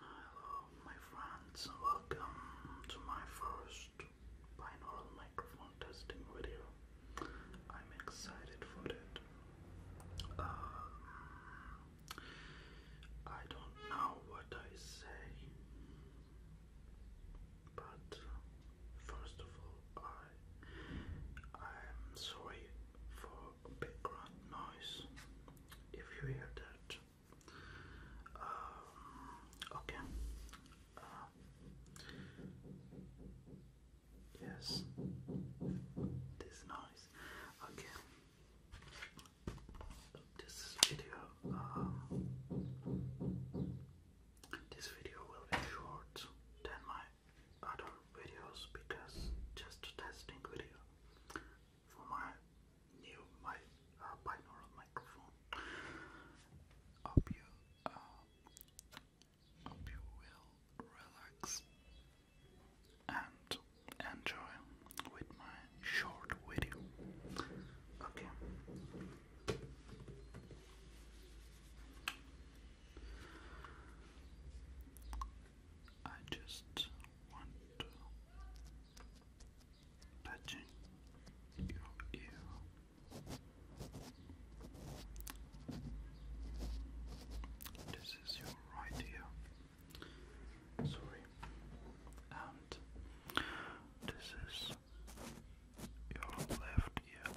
Hello, my friends, welcome to my first binaural microphone testing video. I'm excited for it. Um, I don't know what I say, but first of all, I I'm sorry for background noise if you hear that. Um, okay. Uh, yes, this noise. Okay. This video, um, this video will be short than my other videos because just testing video for my new my uh, binaural microphone. Hope you uh, hope you will relax and enjoy with my short video. Okay. I just want touching your ear. This is your right ear. Sorry. And this is your left ear.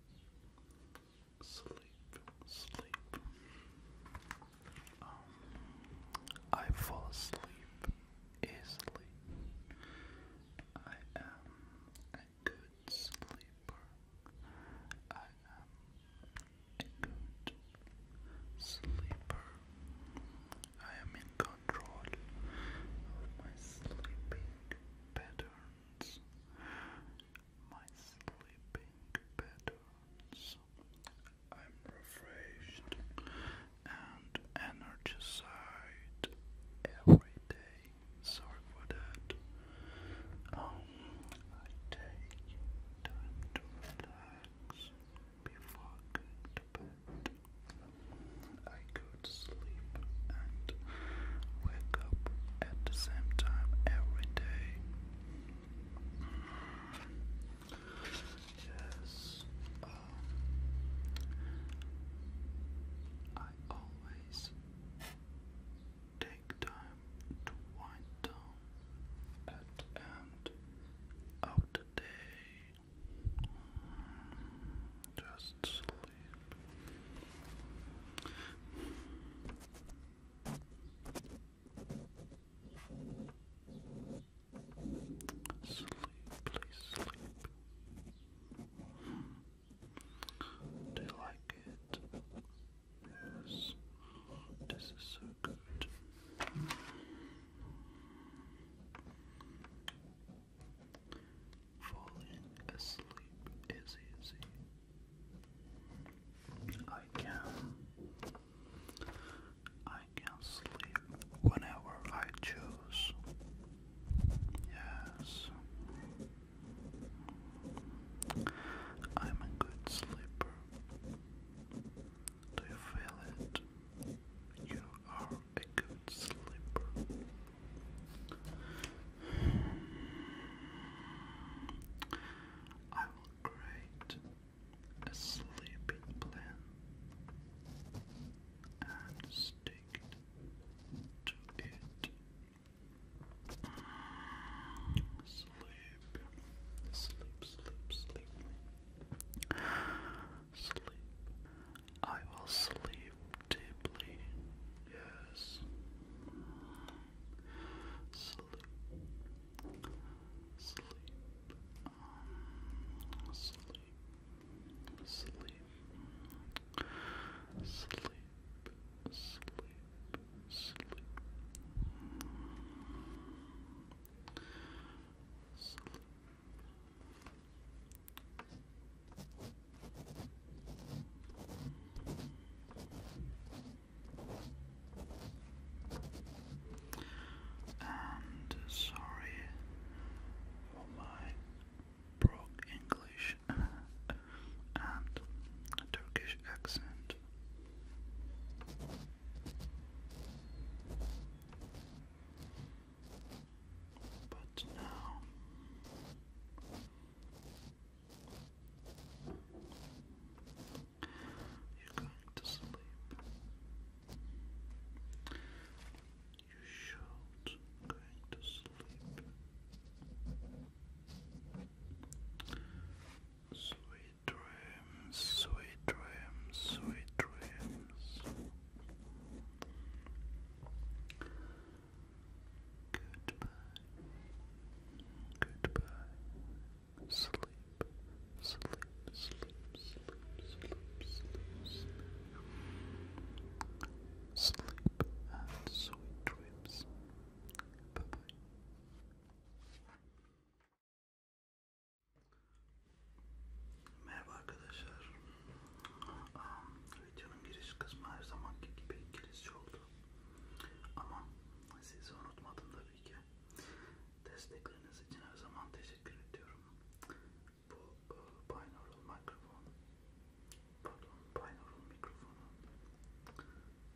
sleep, sleep. Um, I fall asleep easily. I am a good sleeper. I am a good sleeper. I am in control of my sleeping pattern my sleeping patterns. I'm refreshed and energized every day. Sorry for that. I take time to relax before going to bed would sleep and wake up at the same time every day. Yes, um, I always take time to wind down at the end of the day. Just just sleep. Sleep, please sleep. Do you like it? Yes. This is so good. Falling asleep is easy. I can. I can sleep whenever I choose. Yes. I'm a good sleeper. Do you feel it? You are a good sleeper. I will create a sleeping plan and stick to it. Sleep, sleep, sleep, sleep. Sleep. I will sleep deeply Yes. Sleep. Sleep. Sleep. Sleep. Sleep. Sleep. Sleep. Sleep. And sorry for my broke English and Turkish accent. But now you're going to sleep. You should going to sleep. Sweet dreams, sweet dreams, sweet dreams. Goodbye. Goodbye. Sleep. Sleep. Sleep. Sleep. Sleep. Sleep. Sleep and sweet dreams. Bye bye. Merhaba arkadaşlar. Um, videonun giriş kısmı her zamanki gibi İngilizce oldu. Ama sizi unutmadım tabii ki. Destekleriniz için her zaman teşekkür ediyorum. Bu binaural e, mikrofon, pardon binaural mikrofonu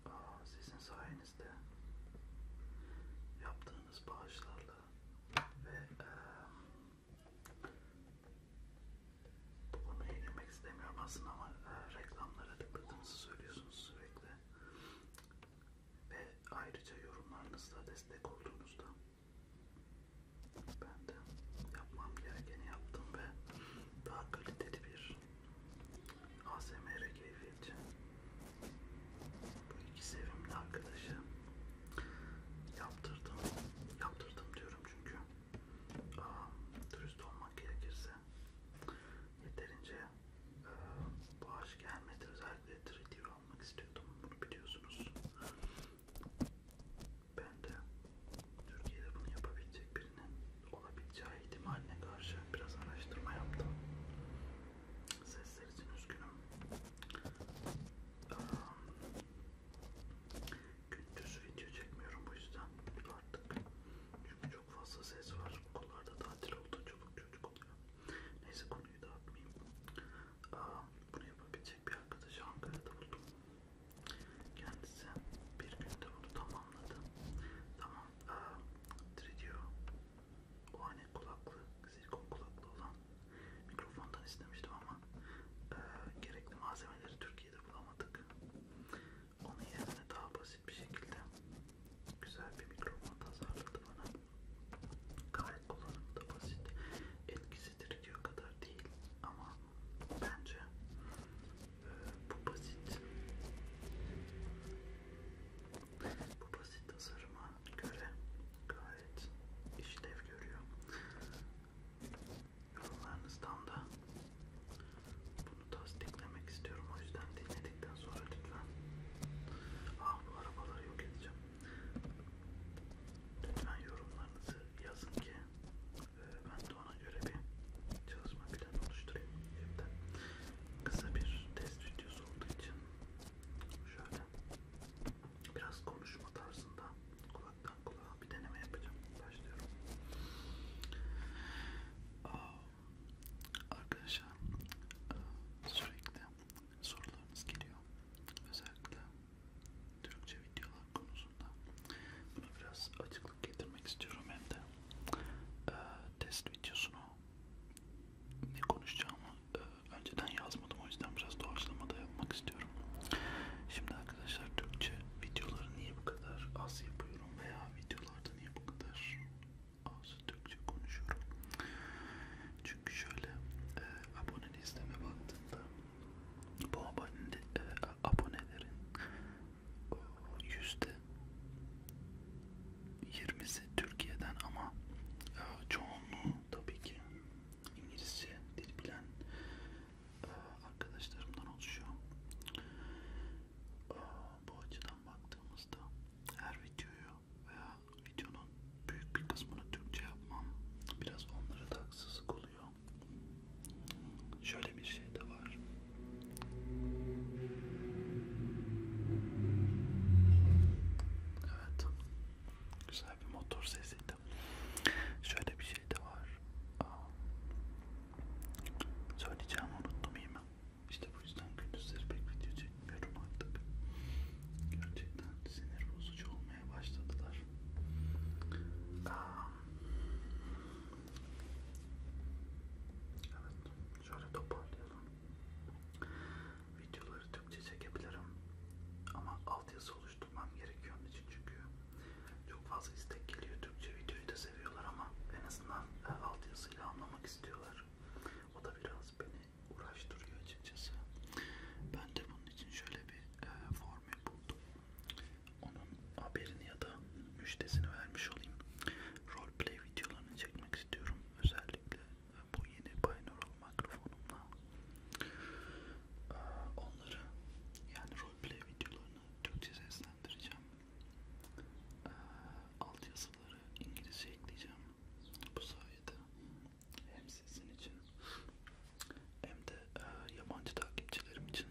Aa, sizin sayenizde yaptığınız bağışlarla ve e, bu konuya girmek istemiyorum aslında ama e, reklamlara tıkladığınızı söylüyorsunuz sürekli ve ayrıca yorumlarınızla destek olduğunuzda ben de yapmam gerekeni yaptım ve daha kaliteli bir ASMR keyfi için bu iki sevimli arkadaşı yaptırdım yaptırdım diyorum çünkü dürüst olmak gerekirse yeterince e, bağış gelmedi. Özellikle 3D almak istiyordum. Bunu biliyorsunuz. Ben de Türkiye'de bunu yapabilecek birinin olabileceği ihtimaline karşı biraz araştırma yaptım. Sesler için üzgünüm gündüz video çekmiyorum bu yüzden artık çünkü çok fazla ses var okullarda tatil oldu çocuk çocuk oluyor neyse konuyu dağıtmayayım Aa, bunu yapabilecek bir arkadaşı Ankara'da buldum kendisi bir günde bunu tamamladı tamam Aa, Tridio o hani kulaklı silikon kulaklı olan mikrofondan istemiştim ama e, gerekli malzemeleri Türkiye'de bulamadık onun yerine daha basit bir şekilde güzel bir mikrofon tasarladı bana. Gayet kullanımı da basit. Etkisi diriliyor kadar değil ama bence e, bu basit bu basit tasarıma göre gayet işlev görüyor yorumlarınızdan da bunu tasdiklemek istiyorum. O yüzden dinledikten sonra lütfen ah bu arabaları yok edeceğim. Lütfen yorumlarınızı yazın ki e, ben de ona göre bir çalışma planı oluşturayım. Evden kısa bir test videosu olduğu için şöyle biraz konuşma tarzında kullanacağım kulaktan kulağa bir deneme yapacağım. Başlıyorum. Arkadaşlar sürekli sorularınız geliyor. Özellikle Türkçe videolar konusunda. Buna biraz açıklık getirmek istiyorum hem de e, test videosunu ne konuşacağımı e, önceden yazmadım o yüzden biraz doğaçlamada yapmak istiyorum. Şimdi arkadaşlar Türkçe videoları niye bu kadar az yapıyor? konuşuyorum veya videolarda niye bu kadar az Türkçe konuşuyorum? Çünkü şöyle e, abone listeme baktığımda bu abone, e, abonelerin o, yüzde 20'si Türkiye'den ama e, çoğunluğu tabii ki İngilizce dil bilen arkadaşlarımdan oluşuyor. Bu açıdan baktığımızda her videoyu veya videonun büyük bir kısmını Türkçe yapmam biraz onlara da haksızlık oluyor. Şöyle bir şey de var. Evet. Güzel bir motor sesiydi. Şöyle bir şey de var. Söyleyeceğimi unuttum iyi mi? İşte bu yüzden gündüzleri pek video çekmiyorum artık. Gerçekten sinir bozucu olmaya başladılar. Aa. Evet, şöyle toparlayalım. Videoları Türkçe çekebilirim ama altyazı oluşturmam gerekiyor onun için çünkü çok fazla istek geliyor Türkçe videoyu da seviyorlar ama en azından e, alt yazıyla anlamak istiyorlar. O da biraz beni uğraştırıyor açıkçası. Ben de bunun için şöyle bir e, formül buldum. Onun haberini ya da müştesini vermiş olayım. Roleplay videolarını çekmek istiyorum. Özellikle e, bu yeni binaural mikrofonumla. E, onları yani roleplay videolarını Türkçe seslendireceğim. Ee, alt yazıları İngilizce ekleyeceğim. Bu sayede hem sizin için hem de e, yabancı takipçilerim için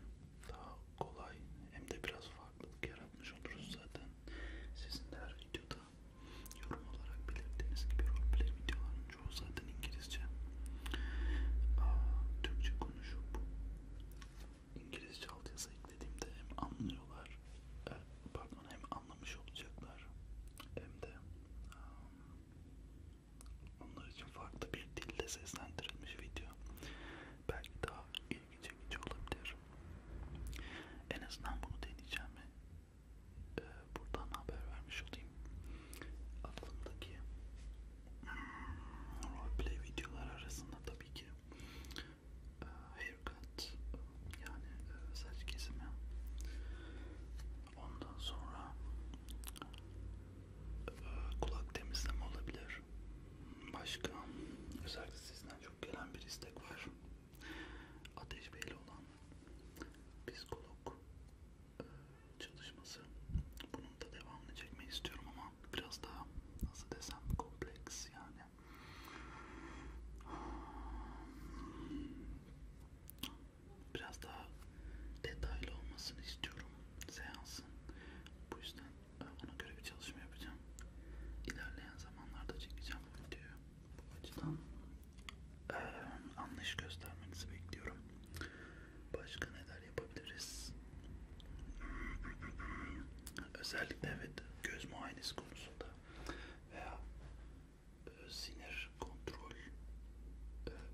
daha kolay hem de biraz farklılık yaratmış oluruz zaten. Sizin de her videoda yorum olarak belirttiğiniz gibi roleplay videoların çoğu zaten İngilizce. Aa, Türkçe konuşup İngilizce altyazı eklediğimde hem anlıyorlar, e, pardon hem anlamış olacaklar hem de onlar için farklı bir dilde seslendirilmiş video belki daha ilgi çekici olabilir. En azından bunu deneyeceğimi buradan haber vermiş olayım. Aklımdaki roleplay videolar arasında tabii ki e, haircut yani e, saç kesimi ondan sonra e, kulak temizleme olabilir başka özellikle sizden çok gelen bir istek var Ateş Bey'le olan psikolog e, çalışması bunun da devamını çekmeyi istiyorum ama biraz daha nasıl desem kompleks yani biraz daha detaylı olmasını istiyorum seansın bu yüzden e, ona göre bir çalışma yapacağım ilerleyen zamanlarda çekeceğim bu videoyu bu açıdan ee, anlayış göstermenizi bekliyorum başka ne der şeyler yapabiliriz. Özellikle evet göz muayenesi konusunda veya e, sinir kontrol e,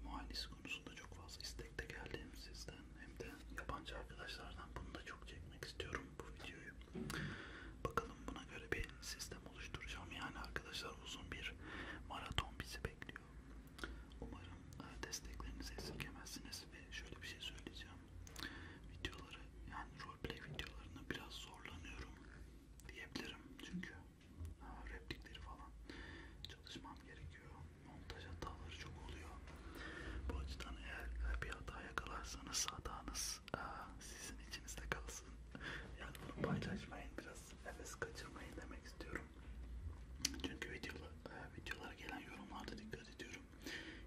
muayenesi konusunda çok fazla istekte geldi hem sizden hem de yabancı arkadaşlardan bunu da çok çekmek istiyorum bu videoyu. Bakalım buna göre bir sistem oluşturacağım yani arkadaşlar uzun bir maraton bizi bekliyor. Umarım desteklerinizi esirgemezsiniz ve şöyle bir şey söyleyeceğim. Videoları yani roleplay videolarını biraz zorlanıyorum diyebilirim çünkü replikleri falan çalışmam gerekiyor. Montaj hataları çok oluyor. Bu açıdan eğer bir hata yakalarsanız hatanız e, sizin içinizde kalsın. Yani bunu paylaşmayın biraz heves kaçırmayın demek istiyorum. Çünkü videolar, e, videolara gelen yorumlarda dikkat ediyorum.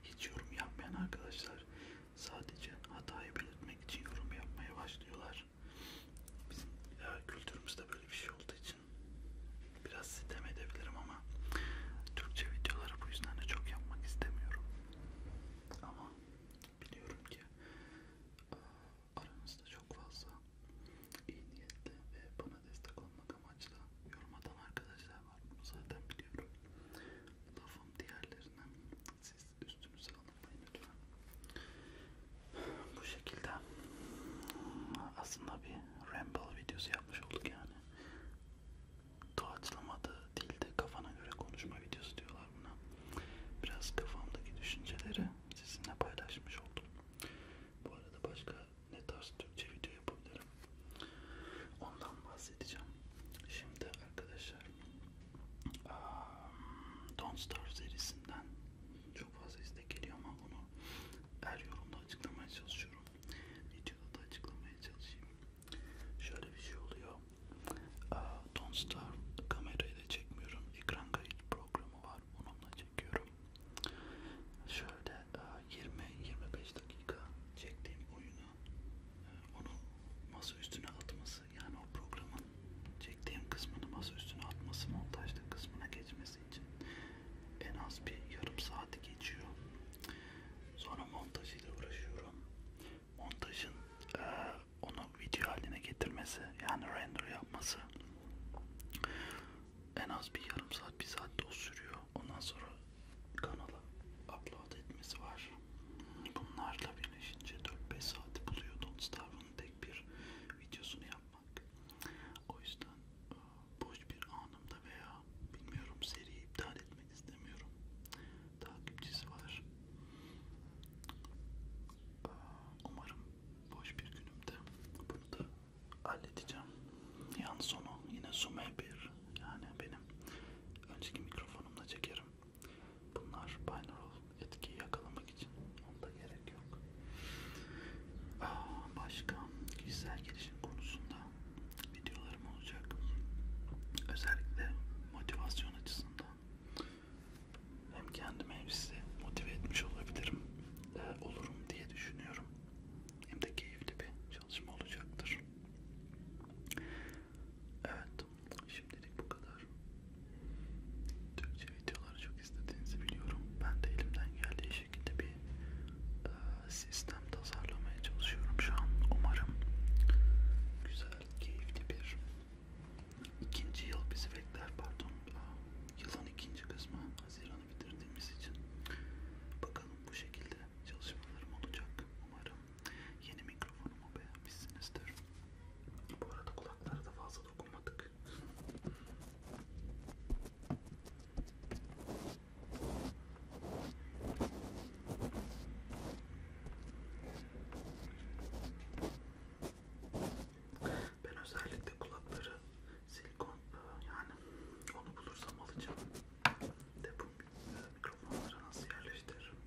Hiç yorum yapmayan arkadaşlar sadece hatayı belirtmek için yorum yapmaya başlıyorlar. Bizim e, kültürümüzde böyle bir şey olduğu için biraz sitem edebilirim ama Türkçe videoları bu yüzden de çok yapmak istemiyorum. Ama biliyorum ki e, aranızda çok fazla iyi niyetli ve bana destek olmak amaçlı yorum atan arkadaşlar var bunu zaten biliyorum. Lafım diğerlerine siz üstünüze alınmayın lütfen. Bu şekilde aslında bir ramble videosu yapmış olduk yani. Doğaçlamadı değil de kafana göre konuşma videosu diyorlar buna. Biraz kafamdaki düşünceleri sizinle paylaşmış oldum. Bu arada başka ne tarz Türkçe video yapabilirim ondan bahsedeceğim. Şimdi arkadaşlar um, Don't Star serisinden çok fazla istek geliyor ama bunu her yorumda açıklamaya çalışıyorum. Videoda da açıklamaya çalışayım. Şöyle bir şey oluyor. Uh, Don't Star kamerayla çekmiyorum. Ekran kayıt programı var. Onunla çekiyorum. Şöyle 20-25 dakika çektiğim oyunu e, onu masa üstüne atması yani o programın çektiğim kısmını masa üstüne atması montajlı kısmına geçmesi için en az bir yarım saati geçiyor. Sonra montajıyla uğraşıyorum. Montajın e, onu video haline getirmesi yani render yapması en az bir yarım saat bir saat de o sürüyor. Ondan sonra kanala upload etmesi var. Bunlarla birleşince 4-5 saati buluyor Don't tek bir videosunu yapmak. O yüzden e, boş bir anımda veya bilmiyorum seriyi iptal etmek istemiyorum. Takipçisi var. E, umarım boş bir günümde bunu da halledeceğim. Yan sonu yine Zoom E1 yani benim önceki mikrofonumla çekerim. Bunlar binaural etkiyi yakalamak için onda gerek yok. Aa, ah, başka kişisel gelişim konusunda videolarım olacak. Özellikle motivasyon açısından hem kendime hem size motive etmiş olabilirim, ee, olurum diye düşünüyorum hem de keyifli bir çalışma olacaktır. Evet, şimdilik bu kadar. Türkçe videoları çok istediğinizi biliyorum. Ben de elimden geldiği şekilde bir e, sistem tasarlamaya çalışıyorum şu an. Umarım güzel, keyifli bir ikinci yıl bizi bekler. Pardon, e, yılın ikinci kısmı Haziran'ı bitirdiğimiz için. Bakalım bu şekilde dönem çalışmalarım olacak umarım. Yeni mikrofonumu beğenmişsinizdir. Bu arada kulaklara da fazla dokunmadık. Ben özellikle kulakları silikon yani onu bulursam alacağım de bu mikrofonları nasıl yerleştiririm?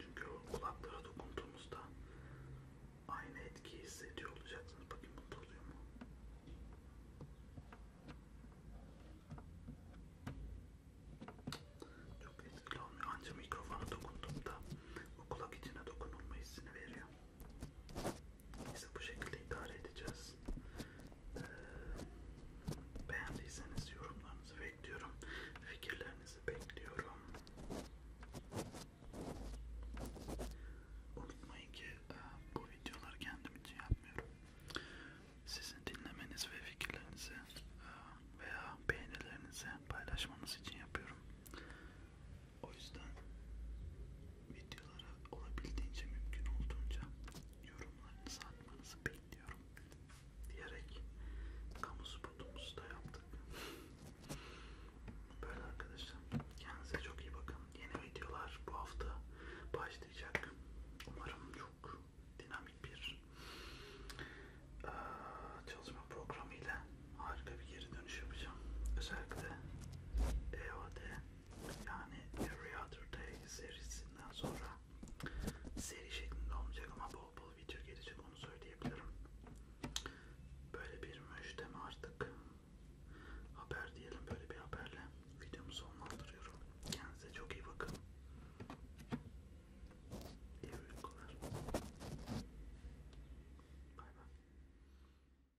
Çünkü o kulaklara dokunduğumuzda aynı etkiyi hissediyor olacaksınız. Bakın mutlu oluyor mu? Çok etkili olmuyor. Ancak mikrofona dokunduğumda o kulak içine dokunulma hissini veriyor. Neyse bu şekilde idare edeceğiz. Ee, beğendiyseniz yorumlarınızı bekliyorum. Fikirlerinizi bekliyorum. Unutmayın ki e, bu videoları kendim için yapmıyorum. Sizin dinlemeniz ve fikirlerinizi e, veya beğenilerinizi paylaşmanız için yapıyorum. O yüzden videolara olabildiğince mümkün olduğunca yorumlarınızı atmanızı bekliyorum diyerek kamu spotumuzu da yaptık. Böyle arkadaşlar. Kendinize çok iyi bakın. Yeni videolar bu hafta başlayacak. Umarım çok dinamik bir ee, çalışma programı ile harika bir geri dönüş yapacağım. Özellikle EOD yani Every Other Day serisinden sonra seri şeklinde olmayacak ama bol bol video gelecek onu söyleyebilirim. Böyle bir müjdeme artık haber diyelim böyle bir haberle videomu sonlandırıyorum. Kendinize çok iyi bakın. İyi uykular. Bay bay.